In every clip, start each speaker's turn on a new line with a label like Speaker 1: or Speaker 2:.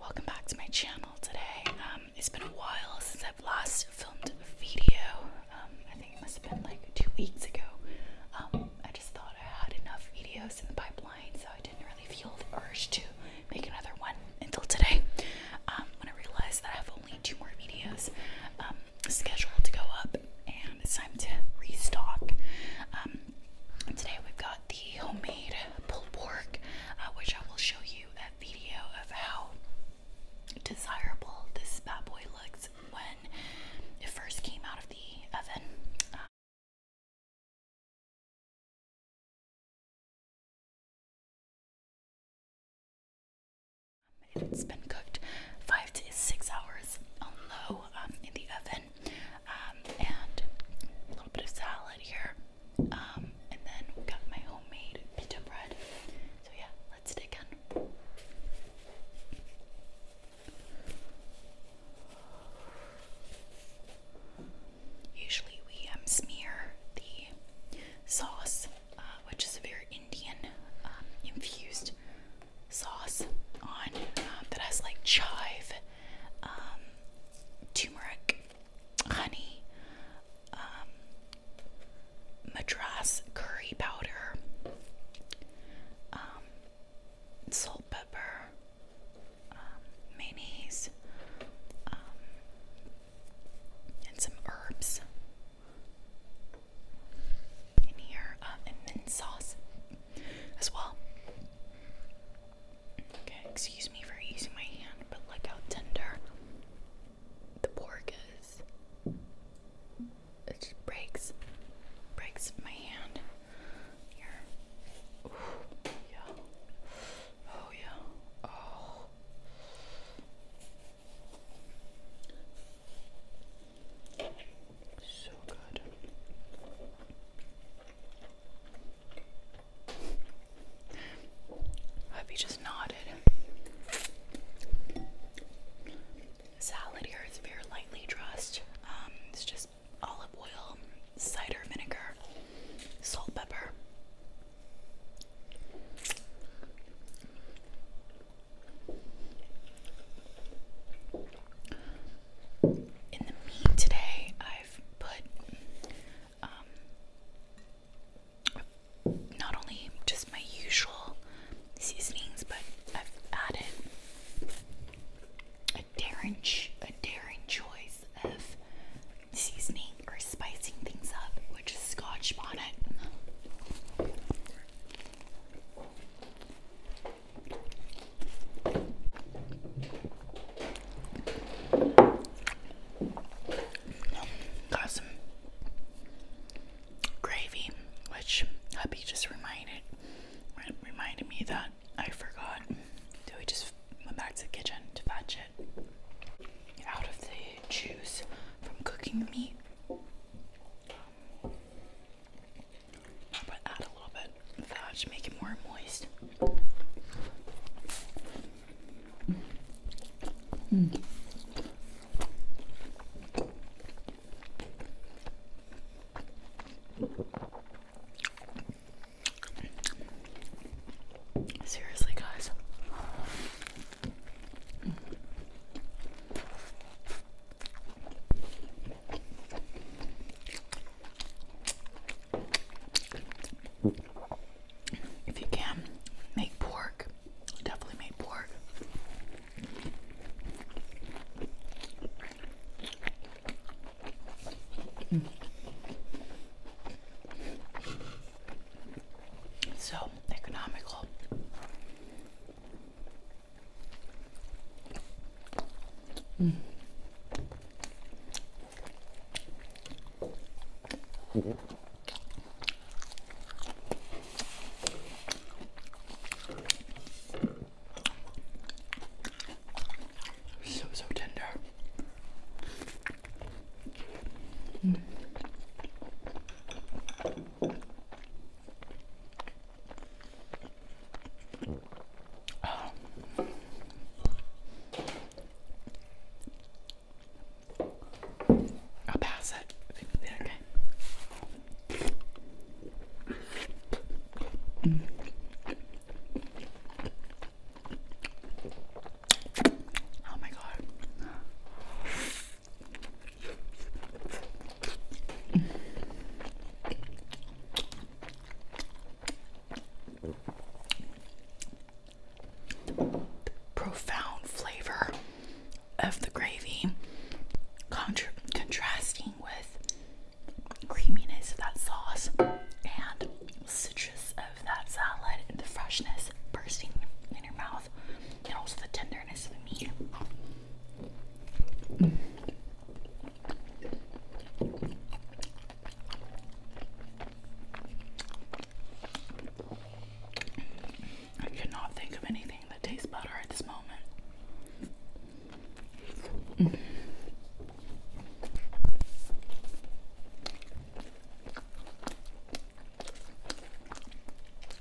Speaker 1: Welcome back to my channel today. Um, it's been a while since I've last filmed a video. Um, I think it must have been like two weeks ago. Um, I just thought I had enough videos in the pipeline, so I didn't really feel the urge to make another one until today. when I realized that I have only two more videos scheduled to go up, and it's time to restock today we've got the homemade pulled pork, uh, which I will show you a video of how desirable this bad boy looks when it first came out of the oven. Uh, it's been cooked five to six hours on low um, in the oven um, and a little bit of salad here. Um, and then we have got my homemade pizza bread. So yeah, let's dig in. Usually we um, smear the sauce, uh, which is a very Indian infused sauce on um, that has like chive, um, turmeric, honey, um, madras curry powder, salt, pepper, mayonnaise, and some herbs in here, uh, mint sauce as well. Okay, excuse me for using my hand, but look how tender the pork is. It breaks, breaks my hand. Here. Ooh, yeah. Oh yeah. Oh. So good. Hubby just nodded. Salad here is very lightly dressed. Um, it's just olive oil, cider vinegar, salt, pepper. In the meat today, I've put um, not only just my usual seasonings, but I've added a daring, a daring choice of seasoning or spicing things up, which is Scotch bonnet. Got some gravy, which hubby just reminded reminded me that I forgot. So we just went back to the kitchen to fetch it out of the juice from cooking the meat. But add a little bit of that to make it more moist. Mm. Seriously, guys. If you can make pork, definitely make pork. So economical. So, so tender. Um, I'll pass it. Okay. Oh my god. Profound flavor of the gravy, contrasting with creaminess of that sauce and citrus of that salad and the freshness bursting in your mouth mouth and also the tenderness of the meat. I cannot think of anything that tastes better at this moment.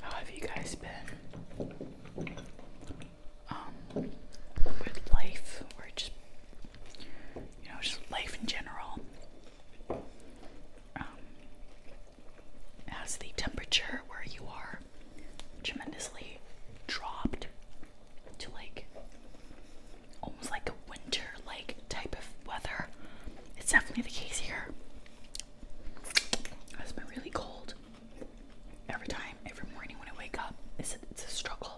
Speaker 1: how have you guys been? Um, with life, or just you know, just life in general. Um, as the temperature where you are tremendously dropped to like almost like a winter like type of weather. It's definitely the case here. It's been really cold every time, every morning when I wake up. it's a struggle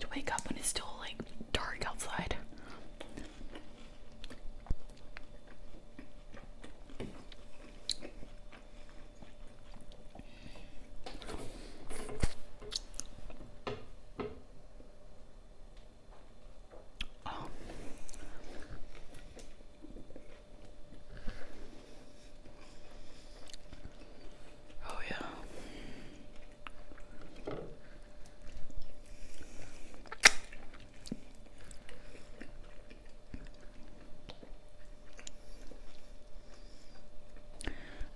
Speaker 1: to wake up when it's still like dark outside. oh, oh yeah,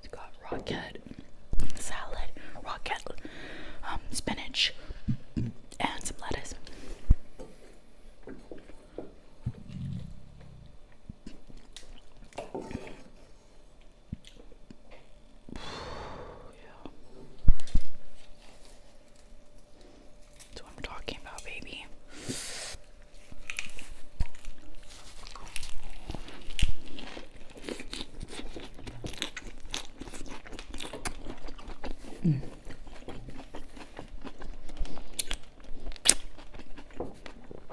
Speaker 1: it's got rocket salad, rocket um, spinach, and some lettuce. That's what I'm talking about, baby. Mm.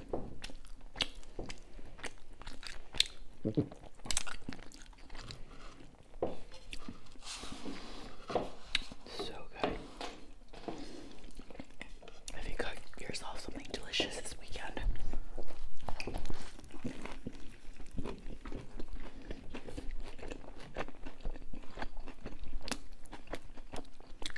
Speaker 1: So good. Have you got yourself something delicious this weekend?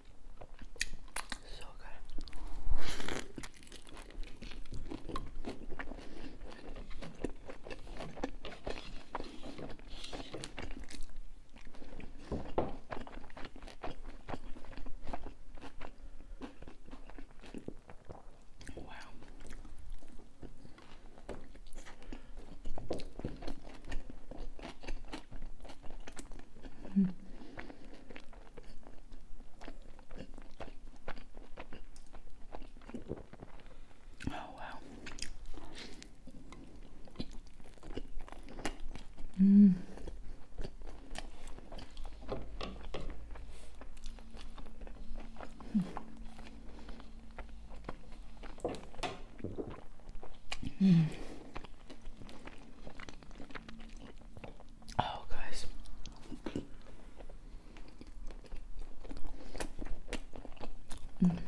Speaker 1: So good. Wow. Mm. Oh wow. Mm. Mm. Oh, guys. Mm.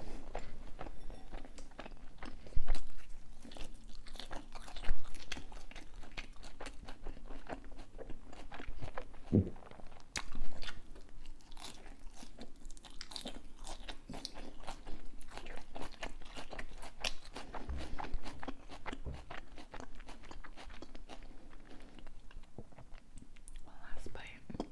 Speaker 1: One last bite. Mm.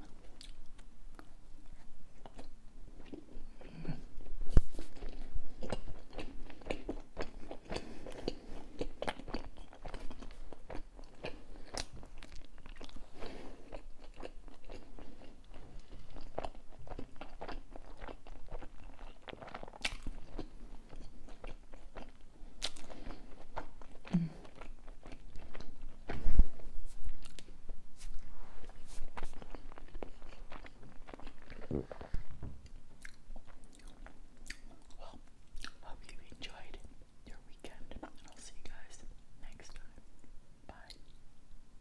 Speaker 1: Mm. Well, hope you enjoyed your weekend, and I'll see you guys next time. Bye.